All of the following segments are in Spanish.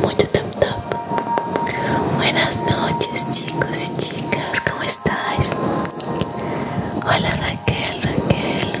Mucho tap tap. Buenas noches chicos y chicas, ¿cómo estáis? Hola Raquel, Raquel.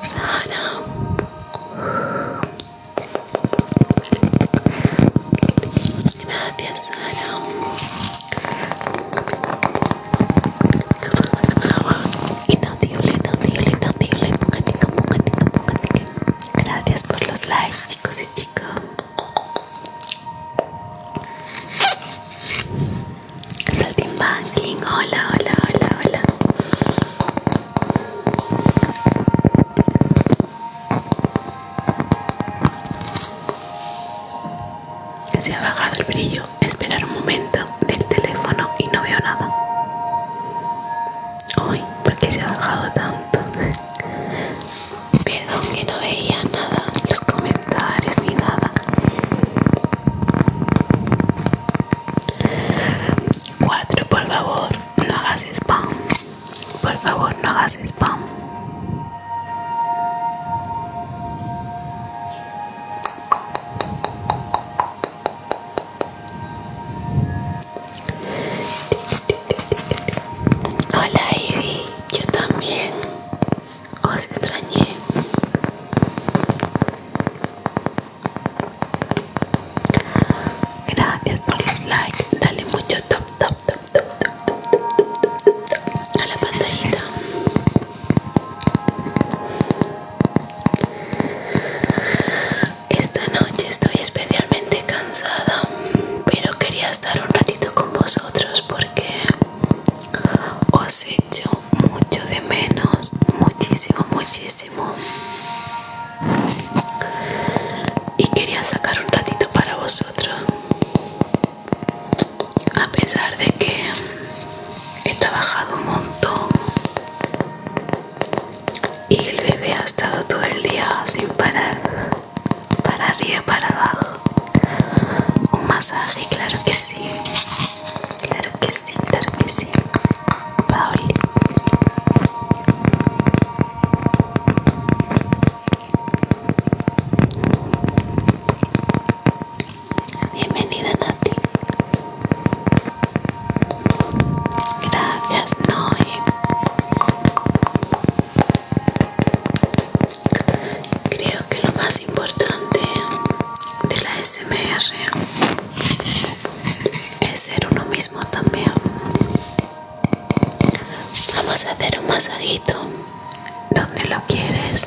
Sara. Gracias, Sara. Inaudible, inaudible, inaudible. Pongatica, pongatica, pongatica. Gracias por los likes, chicos y chicas. Saltimbanking, hola, hola, hola, hola. Se ha bajado el brillo. Esperar un momento del teléfono y no veo nada. Hoy, ¿por qué se ha bajado tanto? Perdón que no veía nada, los comentarios ni nada. 4 por favor no hagas spam por favor no hagas spam Hola Ivy, yo también os extrañé. Gracias por los likes. Dale mucho top, top, top, top, top, top, top, a la pantallita. Esta noche estoy especialmente cansada, pero quería estar un ratito con vosotros porque os he hecho mucho de menos, muchísimo, muchísimo. Y quería sacar un ratito para vosotros. A pesar de que he trabajado un montón y el bebé ha estado todo el día sin parar, para arriba y para abajo. Un masaje, claro que sí, claro que sí, claro que sí. Bienvenida Nati. Gracias Noé. Creo que lo más importante de la SMR es ser uno mismo también vamos a hacer un masajito donde lo quieres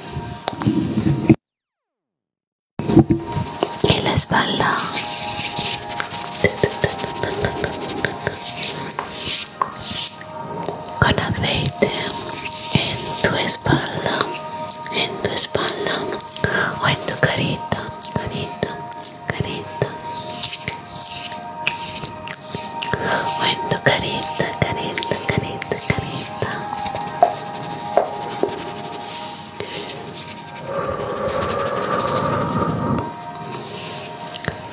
en la espalda con aceite en tu espalda en tu espalda o en tu carita, carita, carita, o en tu carita, carita, carita, carita.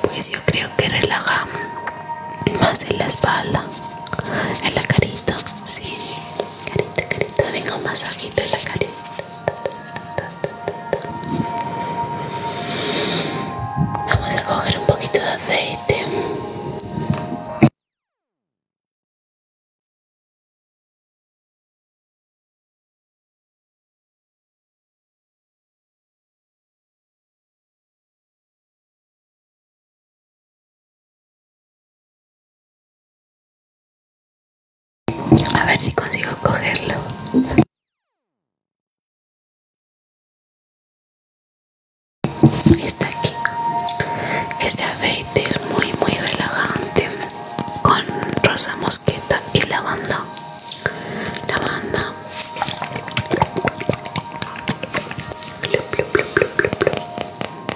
Pues yo creo que relajamos más en la espalda, en la carita, Sí, carita, carita, venga un masajito en la carita. Vamos a coger un poquito de aceite. A ver si consigo cogerlo. Está aquí. Este aceite es muy muy relajante con rosa mosqueta y lavanda. Lavanda. Vale.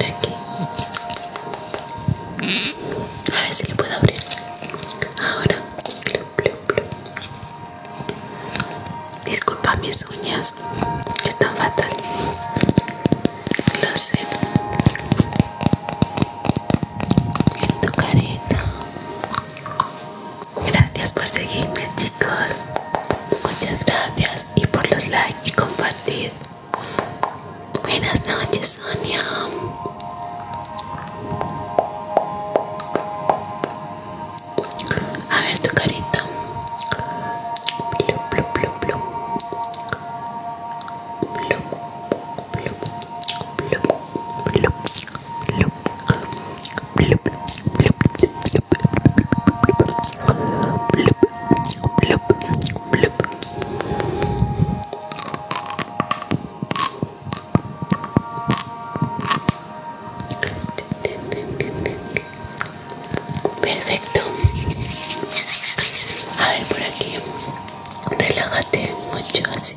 Aquí. A ver si le puedo abrir. Ahora. Disculpa mis uñas, están fatal. Lo sé. En tu carita. Gracias por seguirme, chicos. Muchas gracias y por los likes y compartir. Buenas noches, Sonia. A ver tu carita. Perfecto. A ver por aquí. Relájate mucho así.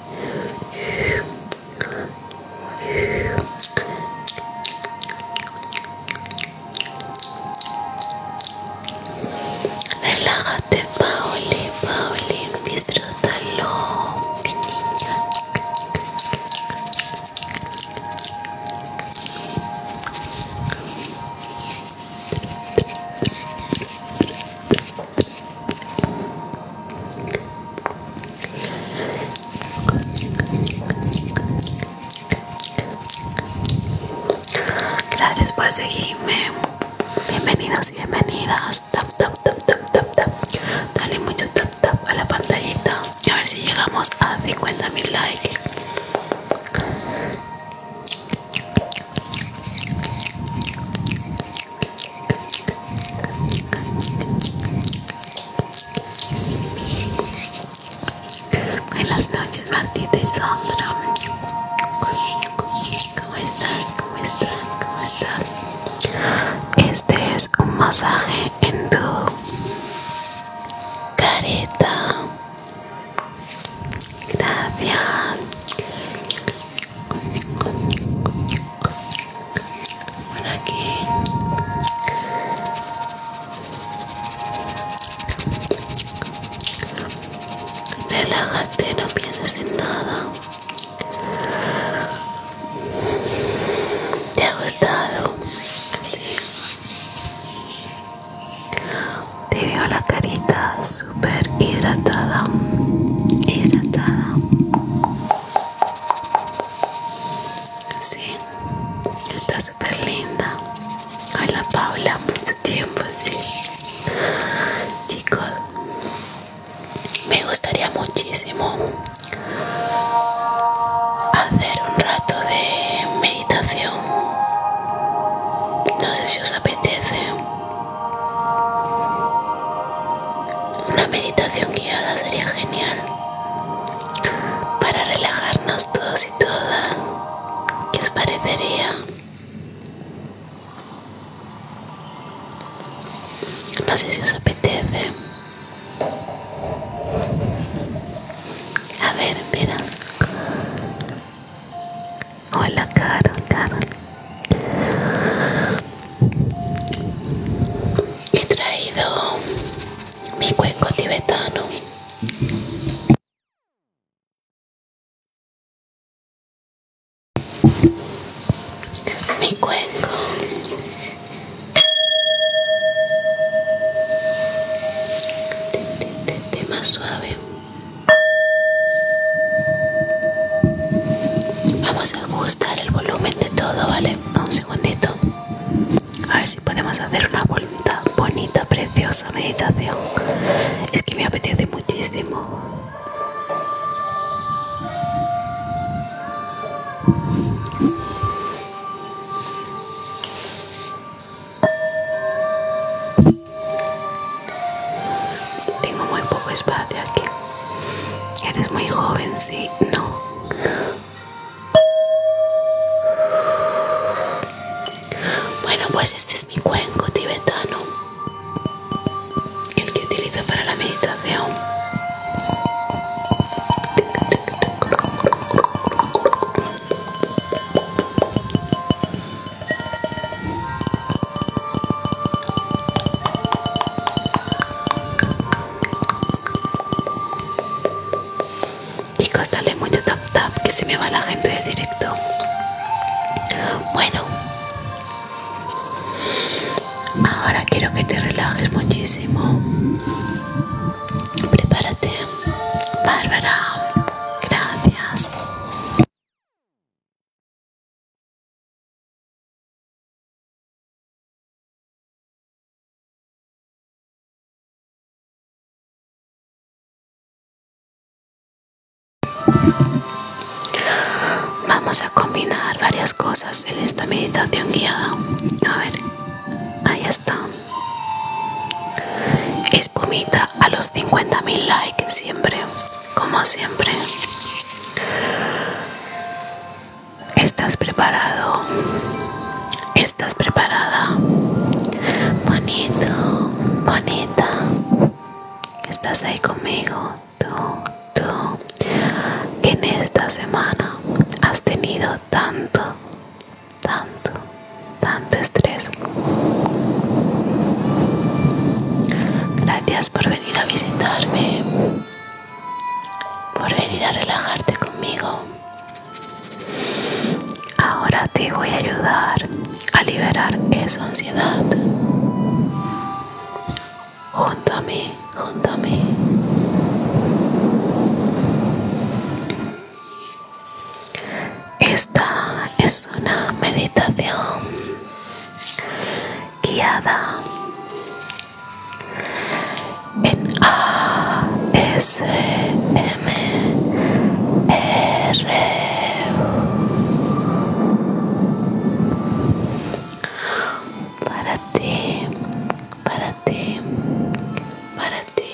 Relájate, Pauli, Pauli, disfrútalo, mi niña. Gracias por seguirme. Bienvenidos y bienvenidas. Tap, tap, tap, tap, tap, Dale mucho tap, tap a la pantallita. A ver si llegamos a 50.000 likes. Buenas noches Martita y Sandra ¿Cómo estás? ¿Cómo estás? ¿Cómo estás? Este es un masaje en tu careta Gracias aquí. Relájate, no pienses en nada. ¿Te ha gustado? Sí. Te veo las caritas súper hidratada, hidratada. Sí, está súper linda. la Paula, mucho tiempo, sí. Chicos, me gustaría muchísimo hacer un rato de meditación. No sé si os apetece. Una meditación guiada sería genial para relajarnos todos y todas. ¿Qué os parecería? No sé si os apetece. A ver, mira. Hola, caro, Carol. He traído mi cuenco tibetano. Mi cuenco. Más suave. Vamos a ajustar el volumen de todo, ¿vale? Un segundito. A ver si podemos hacer una bonita, bonita, preciosa meditación. Es que me apetece muchísimo. Tengo muy poco espacio aquí. Eres muy joven, sí, no. Bueno, pues este es mi cuenco tibetano, el que utilizo para la meditación. Chicos, dale mucho tap tap que se me va la gente de directo. Bueno, ahora quiero que te relajes muchísimo. Prepárate, Bárbara. Gracias. Vamos a combinar varias cosas en esta meditación guiada. A ver, ahí está. Espumita a los 50.000 likes siempre como siempre. ¿Estás preparado? ¿Estás preparada? Bonito, bonita. Estás ahí conmigo, tú, tú, que en esta semana has tenido tanto, tanto, tanto estrés. Gracias por venir a visitarme por venir a relajarte conmigo. Ahora te voy a ayudar a liberar esa ansiedad. Junto a mí, junto a mí. Esta es una meditación guiada en ASMR. Para ti, para ti, para ti.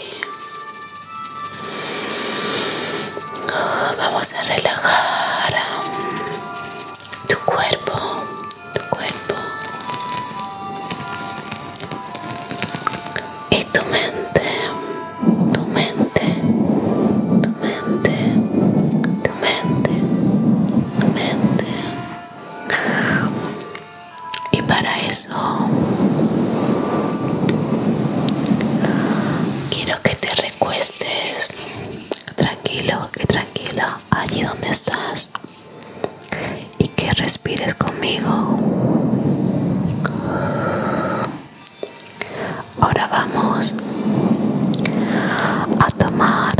Vamos a relajar tu cuerpo tu cuerpo y tu mente, tu mente, tu mente, tu mente, tu mente. Y para eso quiero que te recuestes tranquilo y tranquila allí donde estás y que respires conmigo. Ahora vamos a tomar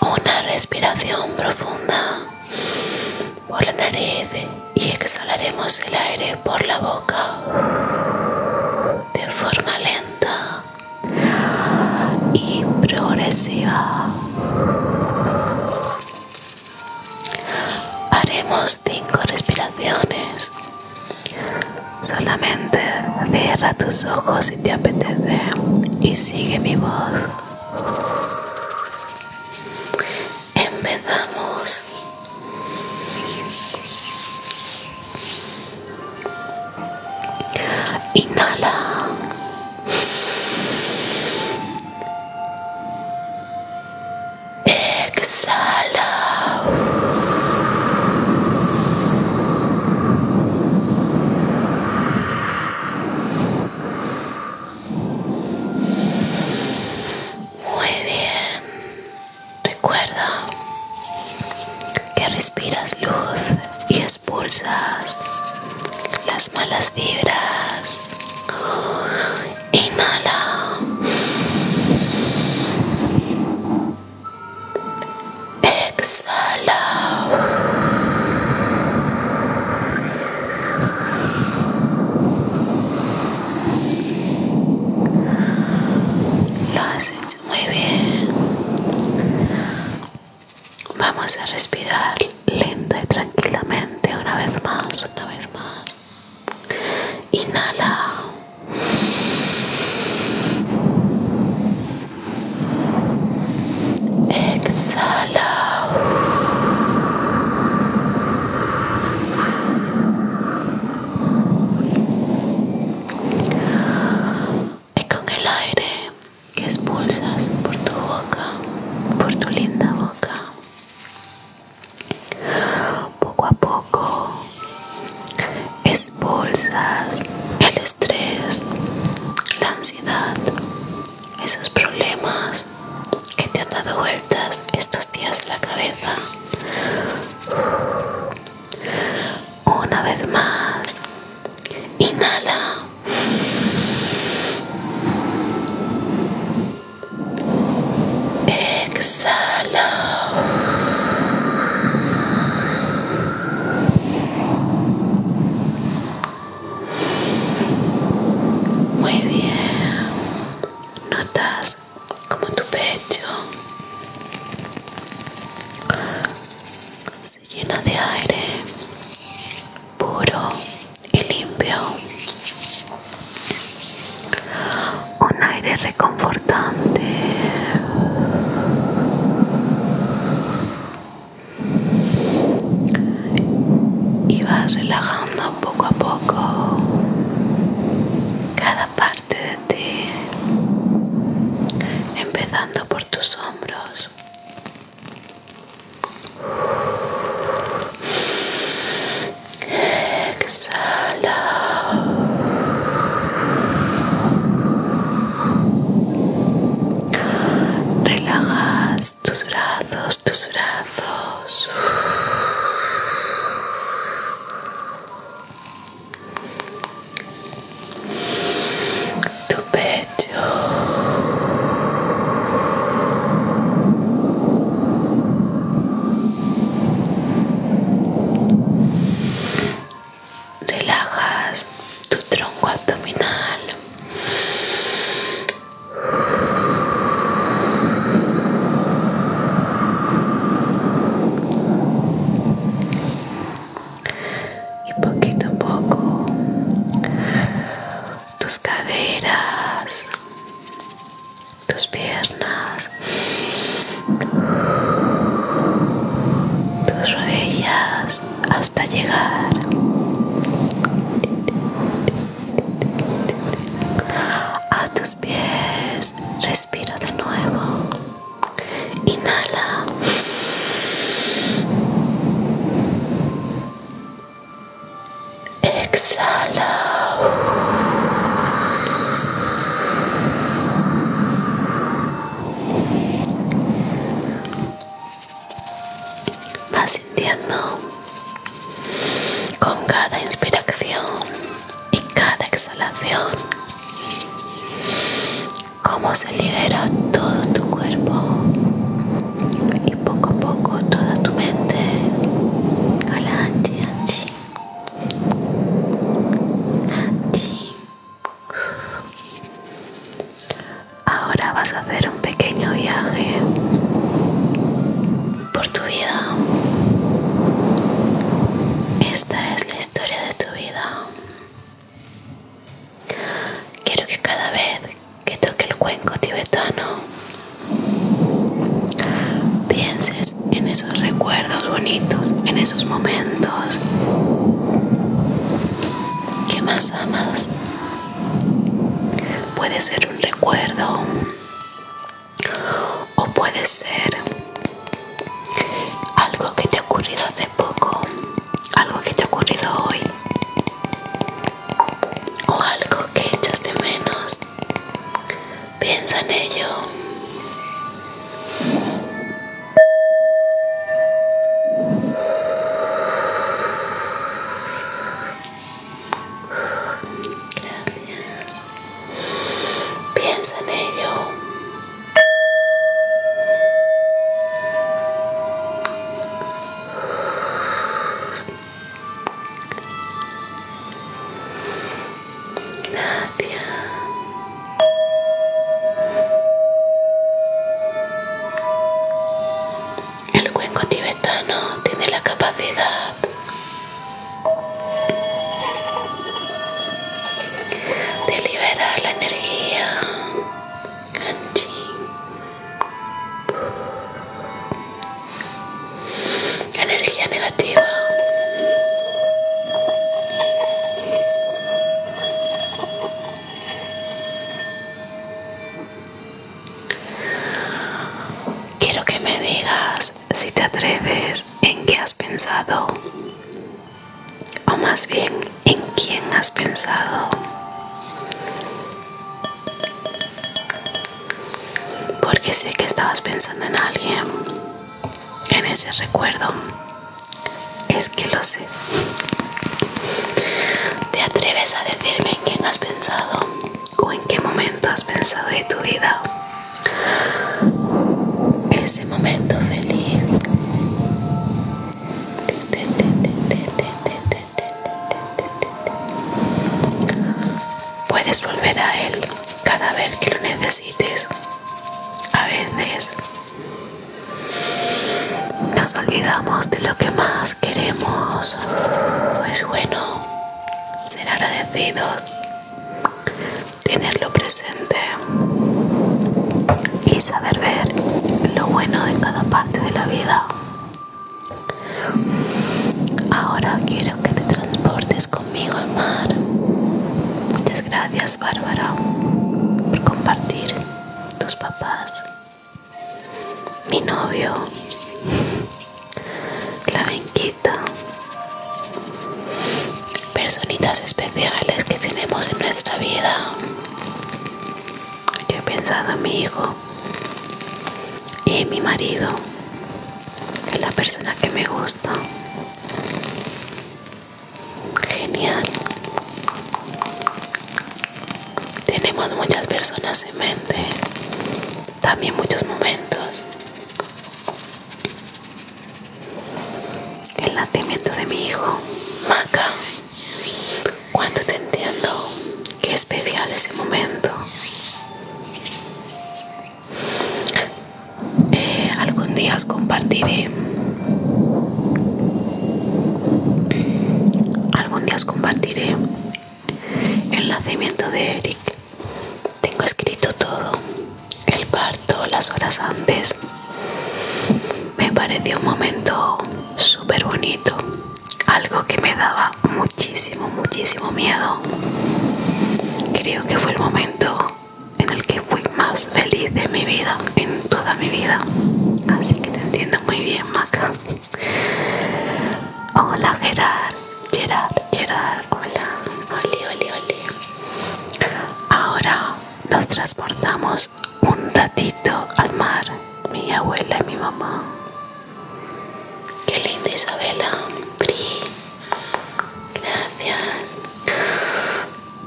una respiración profunda por la nariz y exhalaremos el aire por la boca de forma lenta y progresiva. Haremos cinco respiraciones. Solamente cierra tus ojos si te apetece y sigue mi voz. Empezamos. Inhala. Exhala. Muy bien. Recuerda que respiras luz y expulsas las malas vibras. Inhala. Exhala. Lo muy bien. Vamos a respirar lenta y tranquilamente una vez más, una vez más. Inhala. Exhala es con el aire que expulsas por tu boca, por tu linda boca. Poco a poco expulsas el estrés, la ansiedad, esos problemas que te han dado vueltas estos días en la cabeza. Una vez más. Inhala. Exhala. Muy bien. Notas como tu pecho se llena de aire puro y limpio, un aire reconfortante. Y vas relajando poco a poco cada parte de ti, empezando por tus hombros. Exhala. Relajas tus brazos, tus brazos tu pecho relajas tu tronco abdominal y poquito a poco tus caderas tus piernas tus rodillas hasta llegar a tus pies respira de nuevo Inhala. Exhala. Vas sintiendo con cada inspiración y cada exhalación cómo se libera todo tu cuerpo y poco a poco toda tu mente a anchi ahora vas a hacer un pequeño viaje por tu vida esta es la historia de tu vida Quiero que cada vez que toque el cuenco tibetano pienses en esos recuerdos bonitos, en esos momentos que más amas. Puede ser un recuerdo o puede ser algo que te ha ocurrido hace poco, algo que te ha ocurrido hoy o algo que echas de menos. Piensa en ello. Piensa en ello. El cuenco tibetano tiene la capacidad de liberar la energía Energía negativa. Quiero que me digas si te atreves en qué has pensado o más bien en quién has pensado. Porque sé que estabas pensando en alguien, en ese recuerdo. Es que lo sé. ¿Te atreves a decirme en quién has pensado o en qué momento has pensado de tu vida? Ese momento feliz Puedes volver a él cada vez que lo necesites. A veces nos olvidamos de lo que más queremos. Es bueno ser agradecidos, tenerlo presente y saber ver lo bueno de cada parte de la vida. Ahora quiero que te transportes conmigo al mar. Muchas gracias Bárbara por compartir tus papás, mi novio, la venquita, personitas especiales que tenemos en nuestra vida. Yo he pensado en mi hijo y en mi marido, en la persona que me gusta. Genial. Tenemos muchas personas en mente, también muchos momentos. El nacimiento de mi hijo, Maca. Cuando te entiendo que especial ese momento eh, algún día compartiré algún día os compartiré el nacimiento de Eric tengo escrito todo el parto las horas antes me pareció un momento súper bonito algo que me daba muchísimo muchísimo miedo creo que fue el momento en el que fui más feliz de mi vida en toda mi vida así que te entiendo muy bien Maca hola Gerard Gerard Gerard hola oli oli oli ahora nos transportamos un ratito al mar, mi abuela y mi mamá. Qué linda Isabela, Gracias.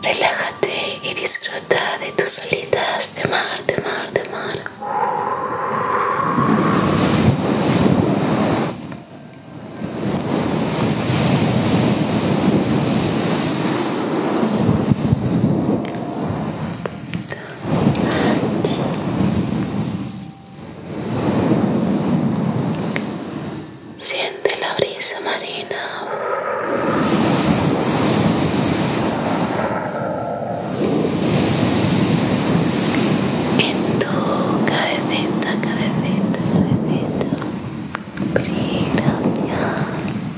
Relájate y disfruta de tus solitas de mar, de mar, de mar. Siente la brisa marina. En tu cabecita, cabecita, cabecita. Brilla.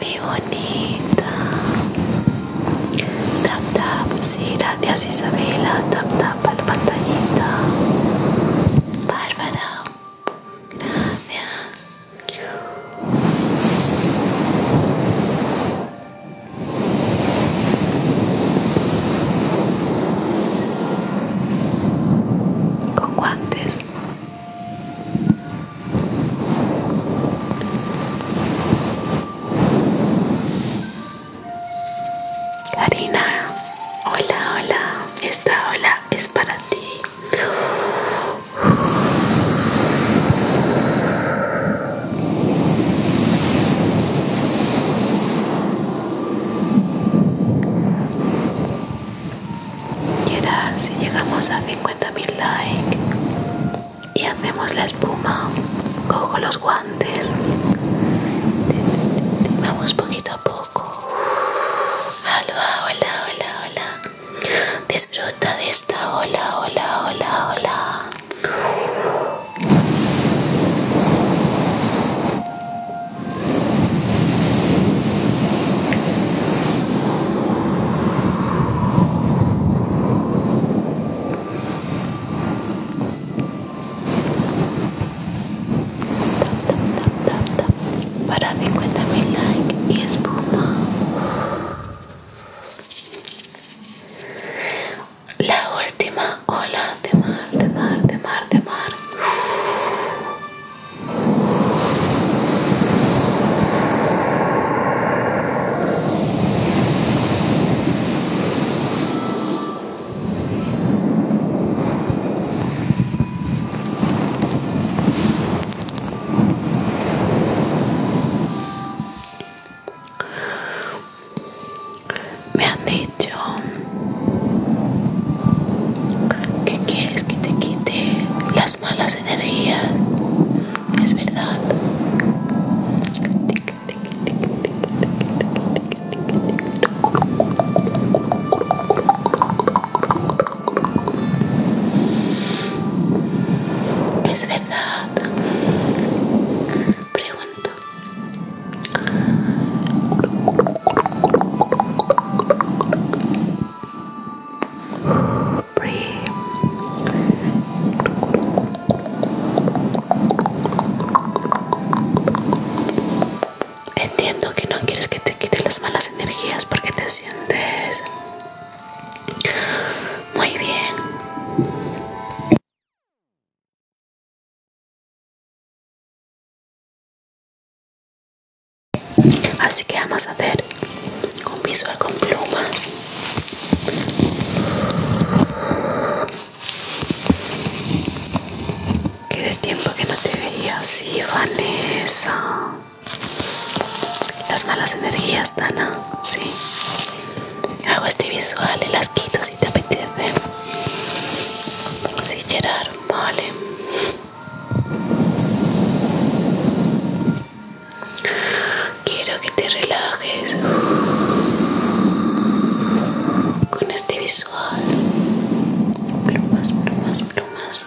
Mi bonita. Tap tap. Sí, gracias Isabela. Tap tap al la Bárbara. Gracias. Con guantes. Karina, hola, hola, esta hola es para ti ahora si llegamos a 50.000 likes y hacemos la espuma, cojo los guantes. Vamos poquito a poco. Hola, hola, hola, hola. Disfruta de esta hola, hola, hola, hola para 50 mil likes y espuma la última hola de mar de mar de mar de mar me han dicho que quieres que te quite las malas energías. Es verdad. Es verdad. Pregunto. Entiendo que no quieres que te quite las malas energías porque te sientes muy bien. Así que vamos a hacer un visual con pluma. Que de tiempo que no te veía así, Vanessa. Las malas energías, Tana, Sí. Hago este visual y las quito si te apetece. Sí, Gerard, vale. Quiero que te relajes con este visual. Plumas, plumas, plumas.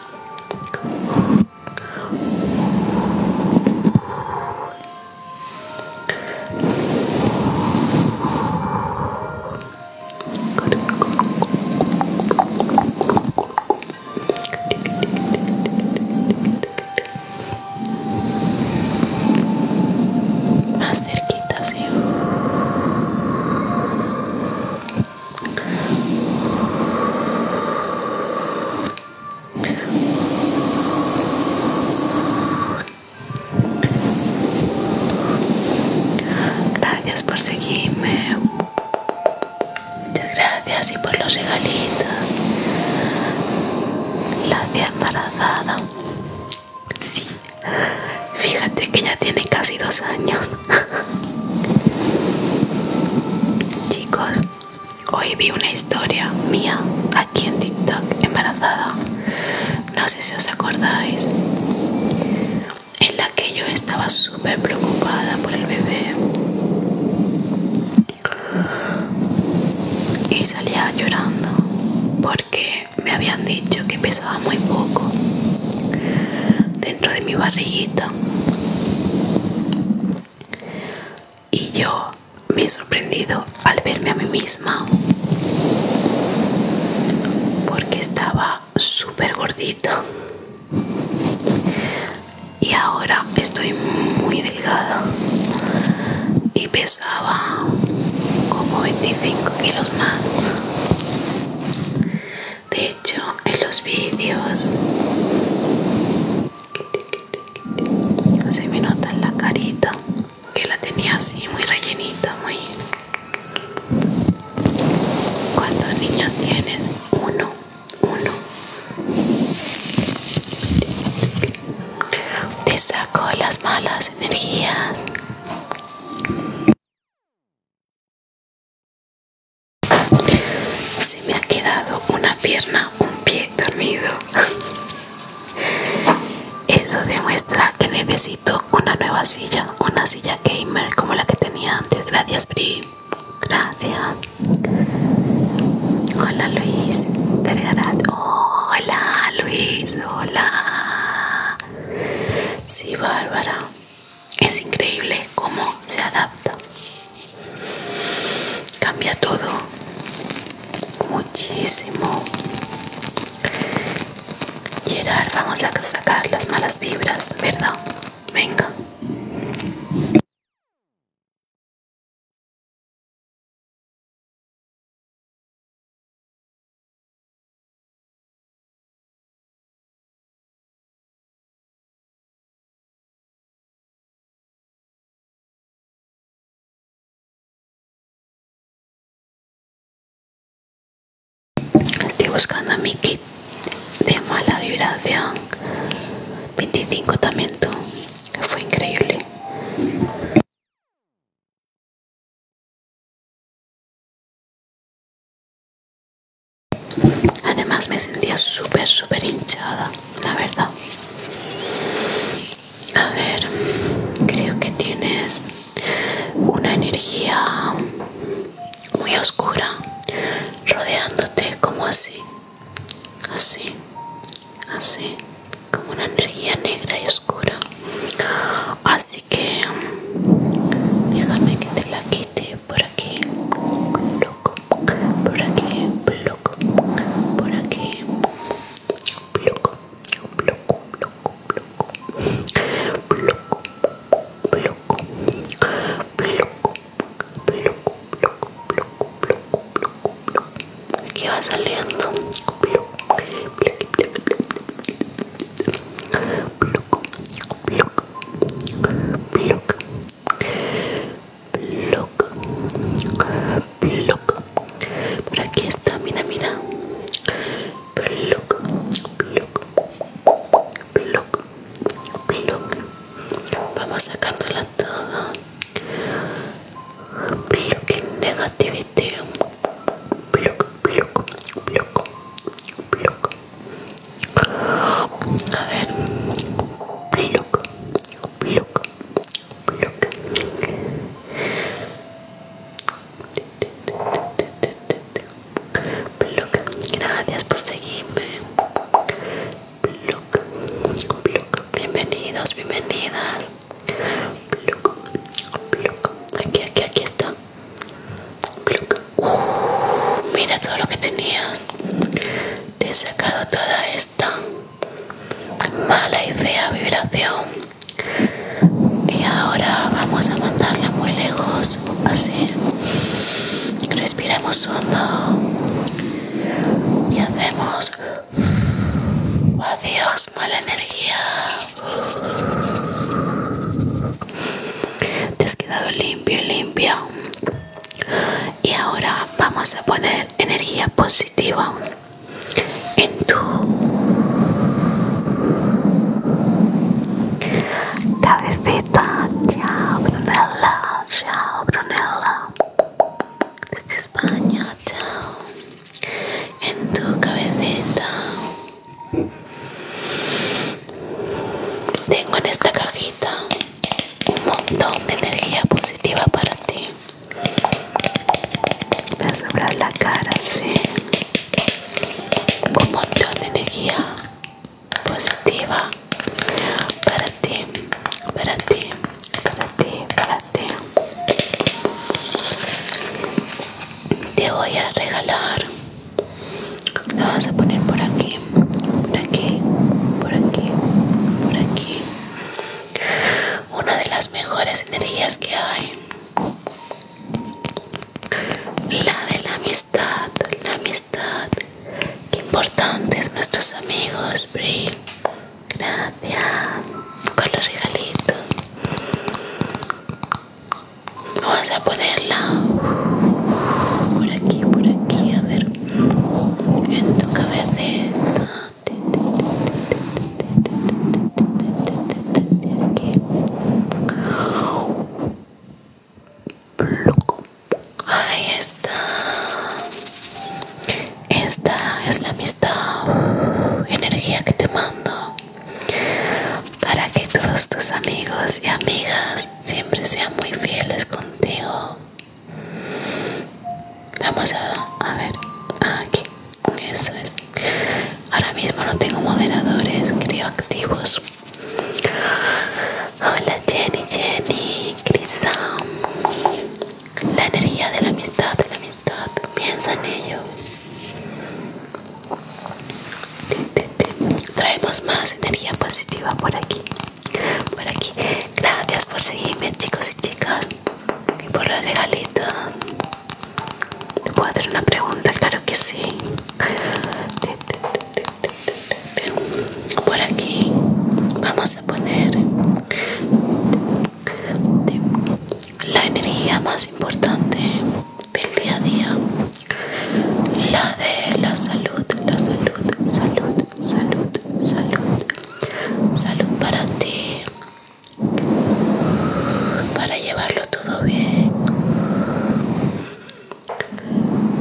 Más cerquita, ¿sí? Gracias por seguirme. Muchas gracias y por los regalitos. La de embarazada. Sí. Fíjate que ya tiene casi dos años. Chicos, hoy vi una historia mía aquí en TikTok embarazada. No sé si os acordáis. En la que yo estaba súper preocupada por el bebé y salía llorando porque me habían dicho que pesaba muy poco dentro de mi barriguita y yo me he sorprendido al verme a mí misma porque estaba súper gordita y ahora estoy muy delgada y pesaba como 25 kilos más de hecho en los vídeos se me nota en la carita que la tenía así muy rellenita muy ¿Cuántos niños tienes? Uno uno te saco las malas energías se me ha quedado una pierna un pie dormido eso demuestra que necesito una nueva silla una silla gamer como la que tenía antes gracias Bri Gracias. Hola Luis. Oh, hola Luis. Hola. Sí, Bárbara. Es increíble cómo se adapta. Cambia todo. Muchísimo. Gerard, vamos a sacar las malas vibras, ¿verdad? Venga. Estoy buscando mi kit de mala vibración 25 también tú fue increíble además me sentía súper súper hinchada la verdad a ver creo que tienes una energía muy oscura rodeándote como así así, así, como una energía negra y oscura. Así que déjame que te la quite por aquí, loco por aquí, bloco, por aquí, loco loco loco loco bloco, bloco, bloco, bloco. Aquí va saliendo. Por aquí está, mira, mira bloque vamos sacándola toda. bloque negativity. bloque bloque bloque bloque A ver. bloque bloque bloque Bloque Gracias por seguirme. Bienvenidos, bienvenidas. Aquí, aquí, aquí está. mira todo lo que tenías. Te he sacado toda esta mala y fea vibración. Y ahora vamos a mandarla muy lejos. Así. respiremos hondo y hacemos adiós mala energía te has quedado limpio y limpio. y ahora vamos a poner energía positiva en tu cabecita chao Brunella chao Brunella desde España, chao. En tu cabecita. Tengo en esta cajita un montón de energía positiva para ti. Me vas a sobrar la cara, sí. Un montón de energía positiva para ti, para ti, para ti, para ti. Te voy a regalar. La vas a poner por aquí, por aquí, por aquí, por aquí. Una de las mejores energías que hay. La de la amistad, la amistad, Qué importantes nuestros amigos, Bri. Gracias con los regalitos. Vamos a ponerla por aquí, por aquí, a ver. En tu cabeza Aquí. Ahí está. Esta es la amistad, energía que te mando para que todos tus amigos y amigas siempre sean muy fieles contigo. Vamos a, a ver, aquí, eso es. Ahora mismo no tengo moderadores, creo activos. Hola Jenny, Jenny, Crisam. La energía de la amistad, la amistad. Piensa en ello. Traemos más energía positiva por aquí. Por aquí. Gracias por seguirme, chicos y chicas. Y por los regalitos, ¿Te puedo hacer una pregunta? Claro que sí. Este, por aquí vamos a poner la energía más importante del día a día la de la salud la salud salud salud salud salud para ti para llevarlo todo bien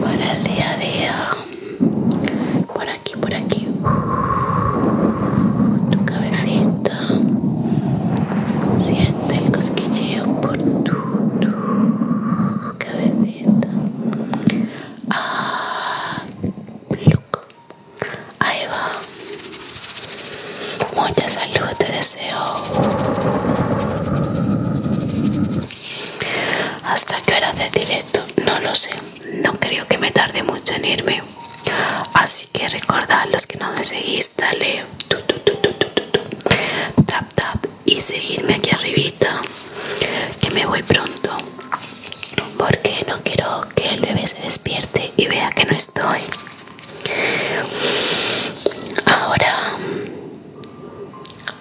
para el día a día por aquí, por aquí, tu cabecita, siente el cosquilleo por tu, cabecita, ah, look. ahí va, mucha salud te deseo. ¿Hasta qué hora de directo? No lo sé no creo que me tarde mucho en irme. Así que recordad los que no me seguís, dale tap tap y seguirme aquí arribita que me voy pronto porque no quiero que el bebé se despierte y vea que no estoy. Ahora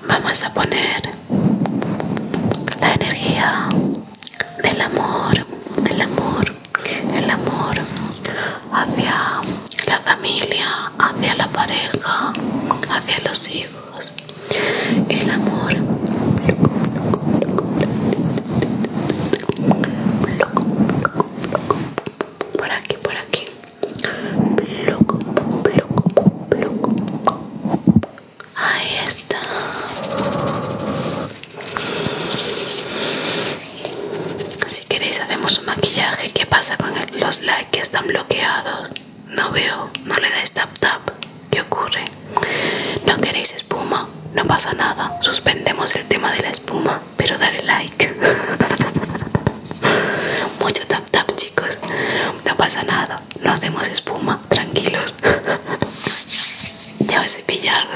vamos a poner la energía del amor, del amor, el amor hacia la familia, hacia la pareja, hacia los hijos, el amor. Por aquí, por aquí. Ahí está. Si queréis hacemos un maquillaje. ¿Qué pasa con los likes que están bloqueados? No veo, no le dais tap tap. ¿Qué ocurre? No queréis espuma, no pasa nada. Suspendemos el tema de la espuma, pero dale like. Mucho tap tap chicos. No pasa nada. No hacemos espuma tranquilos. ya os he pillado.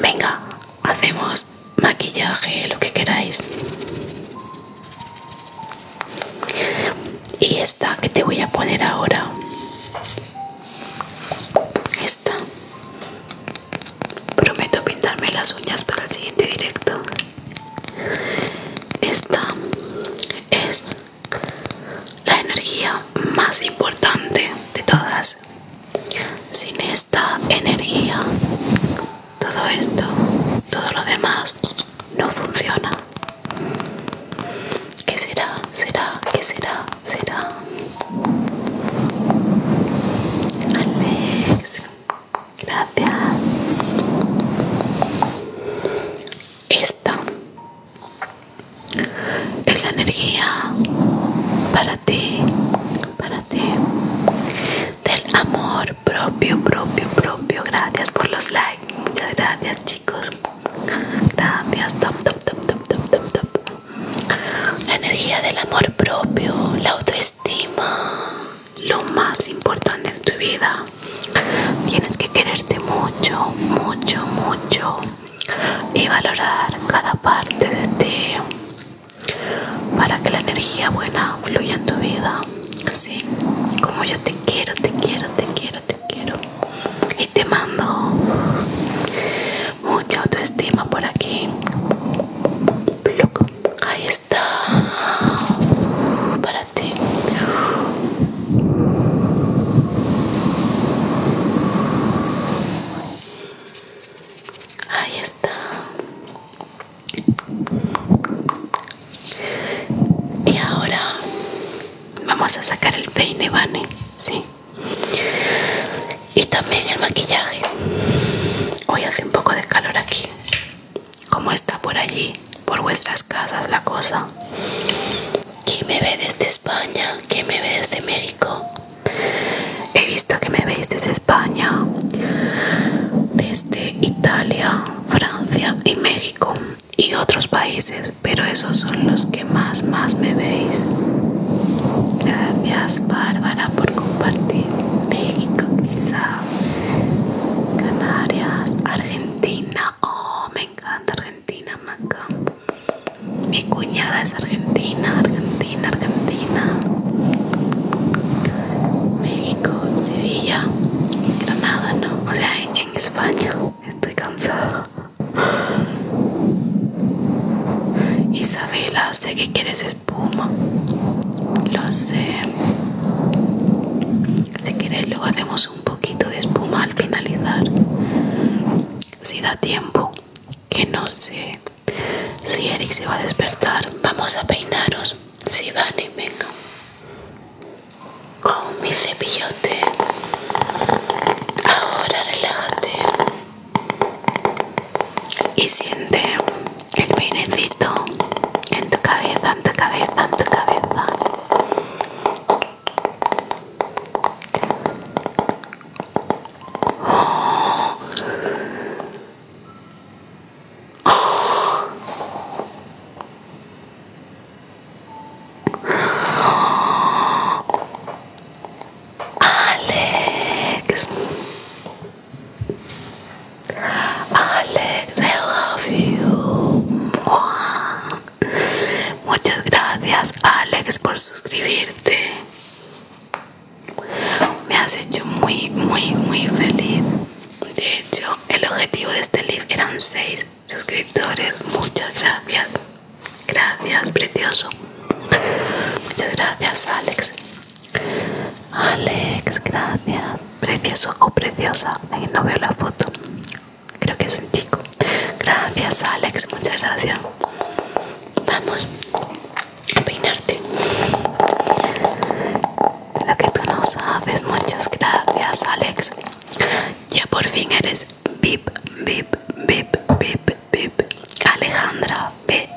Venga, hacemos maquillaje, lo que queráis. Y esta que te voy a poner ahora. Esta. Prometo pintarme las uñas para el siguiente directo. Esta es la energía más importante de todas. Sin esta energía, todo esto, todo lo demás, no funciona. ¿Qué será? ¿Será? ¿Qué será? ¿Será? Alex, gracias. Esta es la energía para ti, para ti, del amor propio, propio, propio. Gracias por los likes, muchas gracias chicos. Gracias, top, top, top, top, top, top, La energía del amor propio, la autoestima, lo más importante en tu vida. Tienes que quererte mucho, mucho, mucho y valorar cada parte de ti para que la energía buena fluya en tu vida. así como yo te quiero, te quiero, te quiero, te quiero. Y te mando mucha autoestima por aquí. Ahí está. Para Ahí está. Y ahora vamos a sacar el peine, Vane, Y también el maquillaje. Hoy hace un poco de calor aquí. Como está por allí, por vuestras casas la cosa. ¿Quién me ve desde España? ¿Quién me ve desde México? He visto que me veis desde España, desde Italia, Francia y México y otros países, pero esos son los que más, más me veis. Gracias Bárbara por compartir. México quizá, Canarias, Argentina, Oh, me encanta Argentina, Maca. Mi cuñada es argentina, Argentina, Argentina. México, Sevilla, Granada, no. O sea, en, España. Estoy cansada. Isabela, sé que quieres espuma. Lo sé. Si quieres, luego hacemos un poquito de espuma al finalizar si da tiempo que no sé si Eric se va a despertar vamos a peinaros si van y venga con mi cepillote ahora relájate y siente el peinecito en tu cabeza en tu cabeza en tu cabeza Alex, Alex, I love you. Muchas gracias, Alex, por suscribirte. Me has hecho muy, muy, muy feliz. De hecho, el objetivo de este live eran 6 suscriptores. Muchas gracias. Gracias, precioso. Muchas gracias, Alex. Alex, gracias. Precioso o preciosa. Ahí no veo la foto. Creo que es un chico. Gracias, Alex. Muchas gracias. Vamos a peinarte. Lo que tú no sabes. Muchas gracias, Alex. Ya por fin eres VIP, VIP, VIP, VIP, VIP. Alejandra,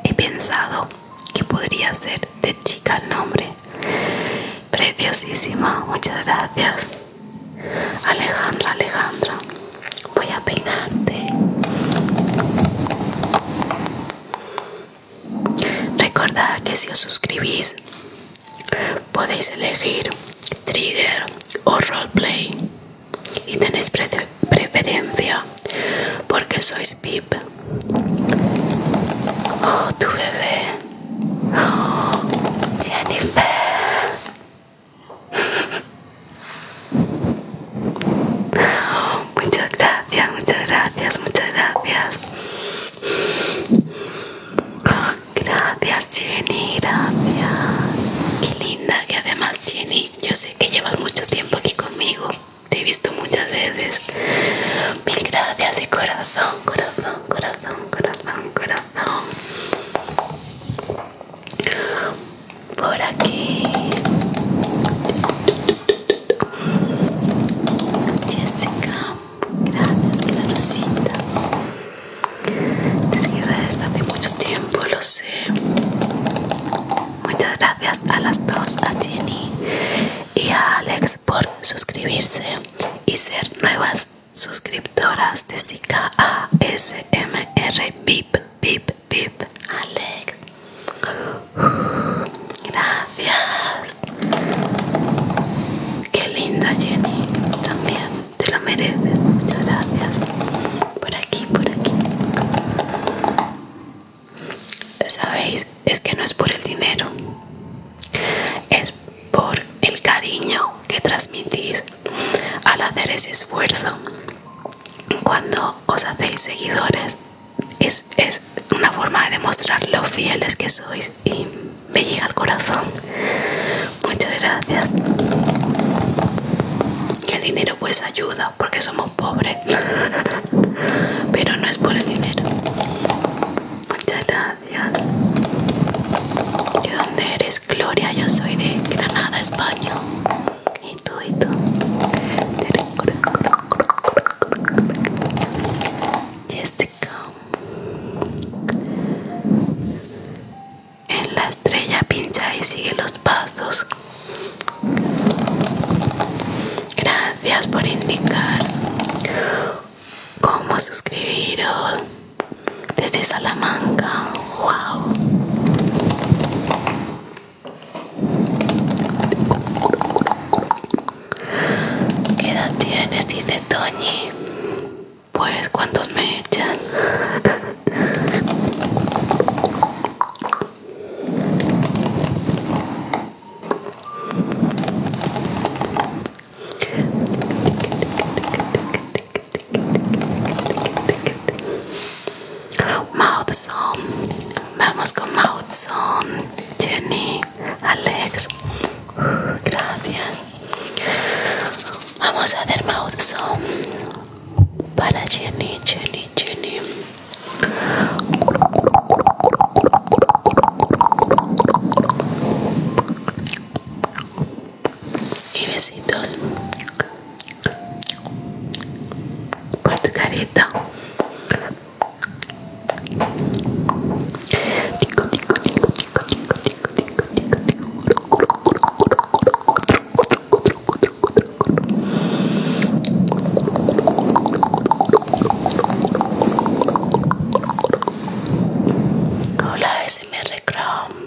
he pensado que podría ser de chica el nombre. Preciosísima. Muchas gracias. Alejandra, Alejandra, voy a peinarte. Recordad que si os suscribís podéis elegir trigger o roleplay y tenéis preferencia porque sois VIP. Oh, tu bebé. Jennifer. Muchas gracias, muchas gracias, muchas gracias. gracias, Jenny, gracias. Qué linda que además, Jenny, yo sé que llevas mucho tiempo aquí conmigo. Te he visto muchas veces. Mil gracias de corazón, corazón, corazón, corazón, corazón por aquí Jessica gracias por la te seguí desde hace mucho tiempo lo sé muchas gracias a las dos a Jenny y a Alex por suscribirse y ser nuevas suscriptoras de Sika ASMR VIP, VIP, VIP, Alex. Gracias. Qué linda Jenny, también te lo mereces. Muchas gracias. Por aquí, por aquí. Sabéis, es que no es por el dinero. Es por el cariño que transmitís al hacer ese esfuerzo cuando os hacéis seguidores es, una forma de demostrar lo fieles que sois y me llega al corazón muchas gracias el dinero pues ayuda porque somos pobres pero no es por el dinero muchas gracias Gracias. ¿De dónde eres, Gloria? Yo soy de Granada, España. Y tú, y tú. Jessica. En la estrella pincha y sigue los pasos. Gracias por indicar cómo suscribiros desde Salamanca. Wow. ¿Qué edad tienes? Dice Toñi. Pues cuántos me echan. Mouth song Vamos con Mouth Jenny, Alex. Gracias. Vamos a hacer Mouth para Jenny, Jenny, Jenny y besitos para tu careta Hola, ese me reclama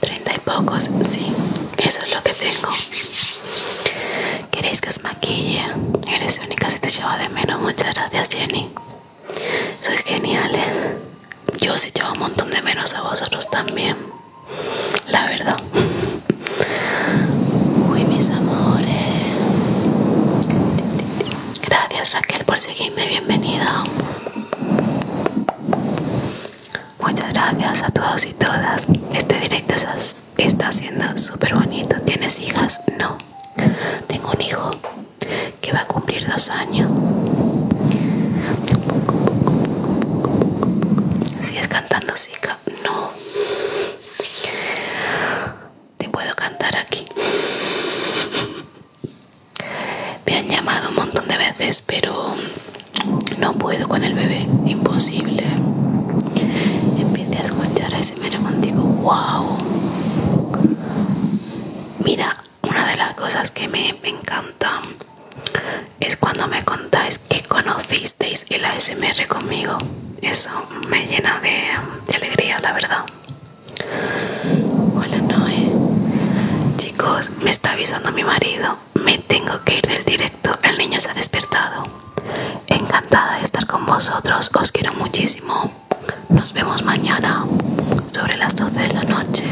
Treinta y pocos, sí, eso es lo que tengo. ¿Queréis que os maquille? Eres única si te lleva de menos. Muchas gracias, Jenny. Sois geniales. Yo se echaba un montón de menos a vosotros también. La verdad. Uy, mis amores. Gracias, Raquel, por seguirme. Bienvenida. Muchas gracias a todos y todas. Este directo está siendo súper bonito. ¿Tienes hijas? No. Tengo un hijo que va a cumplir dos años. Si es cantando Zika, no. Te puedo cantar aquí. Me han llamado un montón de veces, pero no puedo con el bebé, imposible. Empecé a escuchar a ese contigo, wow. Mira, una de las cosas que me, encanta es cuando me contáis que conocisteis el ASMR conmigo. Eso me llena de, alegría, la verdad. Hola Noé. Chicos, me está avisando mi marido me tengo que ir del directo. El niño se ha despertado. Encantada de estar con vosotros. Os quiero muchísimo. Nos vemos mañana sobre las 12 de la noche.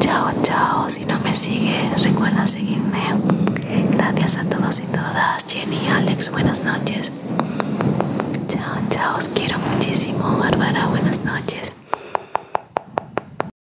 Chao, chao. Si no me sigues, recuerda seguirme. Gracias a todos y todas. Jenny, Alex, buenas noches. Chao, chao. Os quiero muchísimo. Bárbara, buenas noches.